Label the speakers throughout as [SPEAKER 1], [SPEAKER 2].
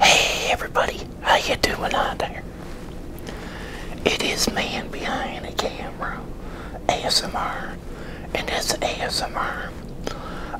[SPEAKER 1] Hey everybody, how you doing out there? It is man behind the camera, ASMR, and it's ASMR.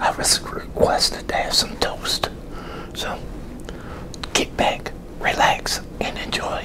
[SPEAKER 1] I was requested to have some toast, so get back, relax, and enjoy.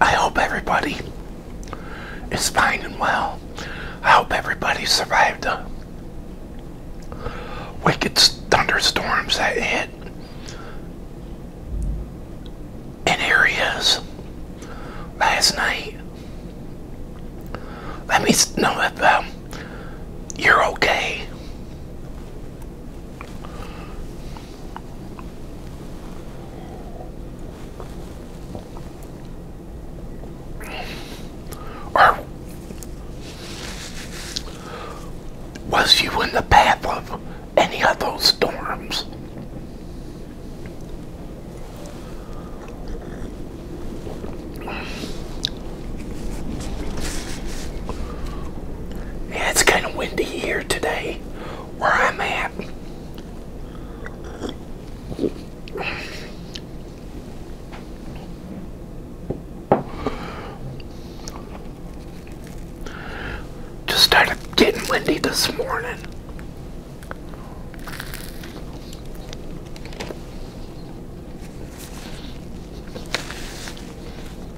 [SPEAKER 1] I hope everybody is fine and well. I hope everybody survived the wicked thunderstorms that hit in areas last night. Let me know if um, you're okay. Or was you in the path of any of those storms? Yeah, it's kind of windy here today where I'm at. Just started getting windy this morning.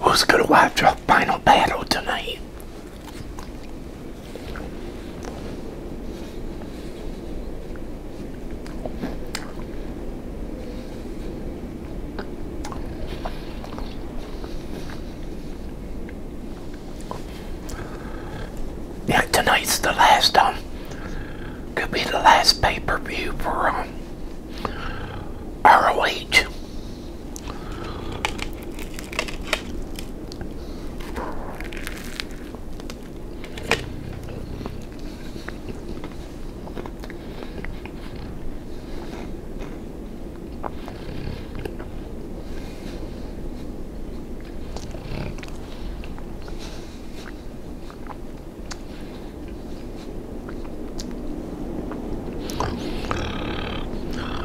[SPEAKER 1] Who's gonna watch our final battle tonight? Yeah, tonight's the last, time. Um, could be the last pay per view for, um, ROH.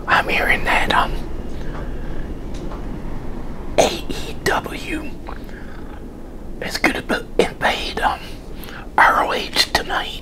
[SPEAKER 1] I'm hearing that um AEW is gonna be invade um ROH tonight.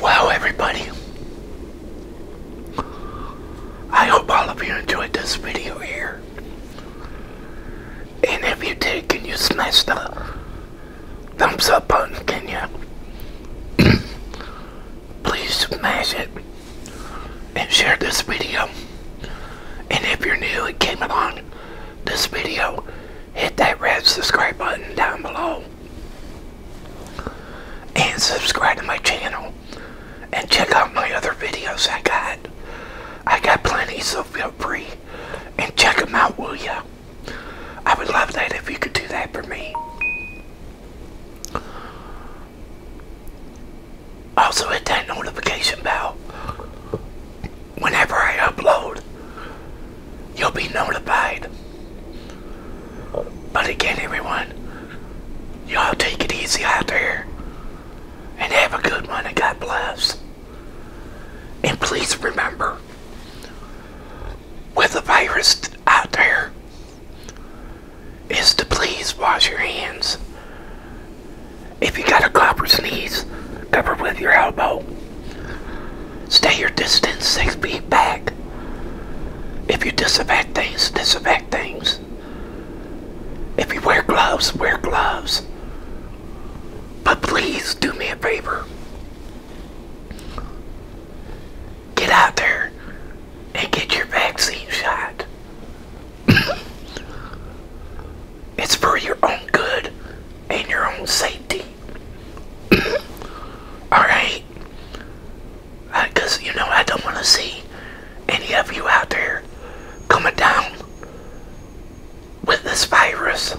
[SPEAKER 1] Wow, everybody. I hope all of you enjoyed this video here. And if you did, can you smash the thumbs up button? Can you? please smash it and share this video. And if you're new and came along this video, hit that red subscribe button down below. And subscribe to my channel. And check out my other videos I got. I got plenty, so feel free. And check them out, will ya? I would love that if you could do that for me. Also hit that notification bell. Whenever I upload, you'll be notified. But again, everyone, y'all take it easy out there and have a good one and God bless. And please remember, with the virus out there, is to please wash your hands. If you got a cough or sneeze, cover with your elbow. Stay your distance six feet back. If you disinfect things, disinfect things. If you wear gloves, wear gloves. But please do me a favor get out there and get your vaccine shot. it's for your own good and your own safety. Alright? Because, uh, you know, I don't want to see any of you out there coming down with this virus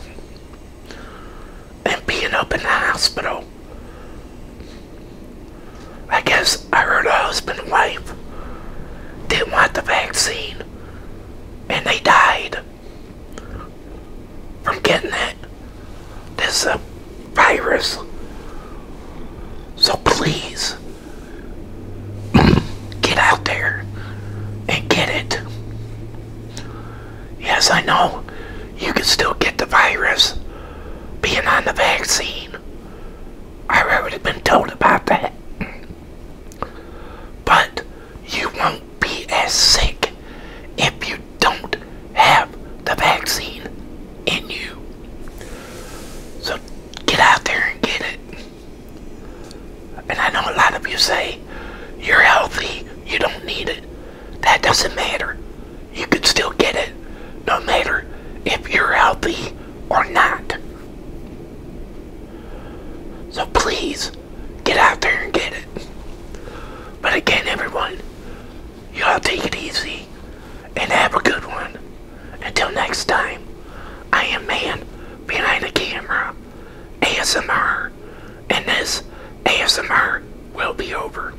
[SPEAKER 1] and being up in the hospital I guess I heard a husband and wife didn't want the vaccine and they died from getting it. This virus. So please get out there and get it. Yes, I know you can still get the virus being on the vaccine. I've already been told about that. But you won't be as sick if you don't have the vaccine in you. So get out there and get it. And I know a lot of you say, you're healthy, you don't need it. That doesn't matter you could still get it no matter if you're healthy or not. So please get out there and get it. But again, everyone, y'all take it easy and have a good one. Until next time, I am Man Behind the Camera, ASMR, and this ASMR will be over.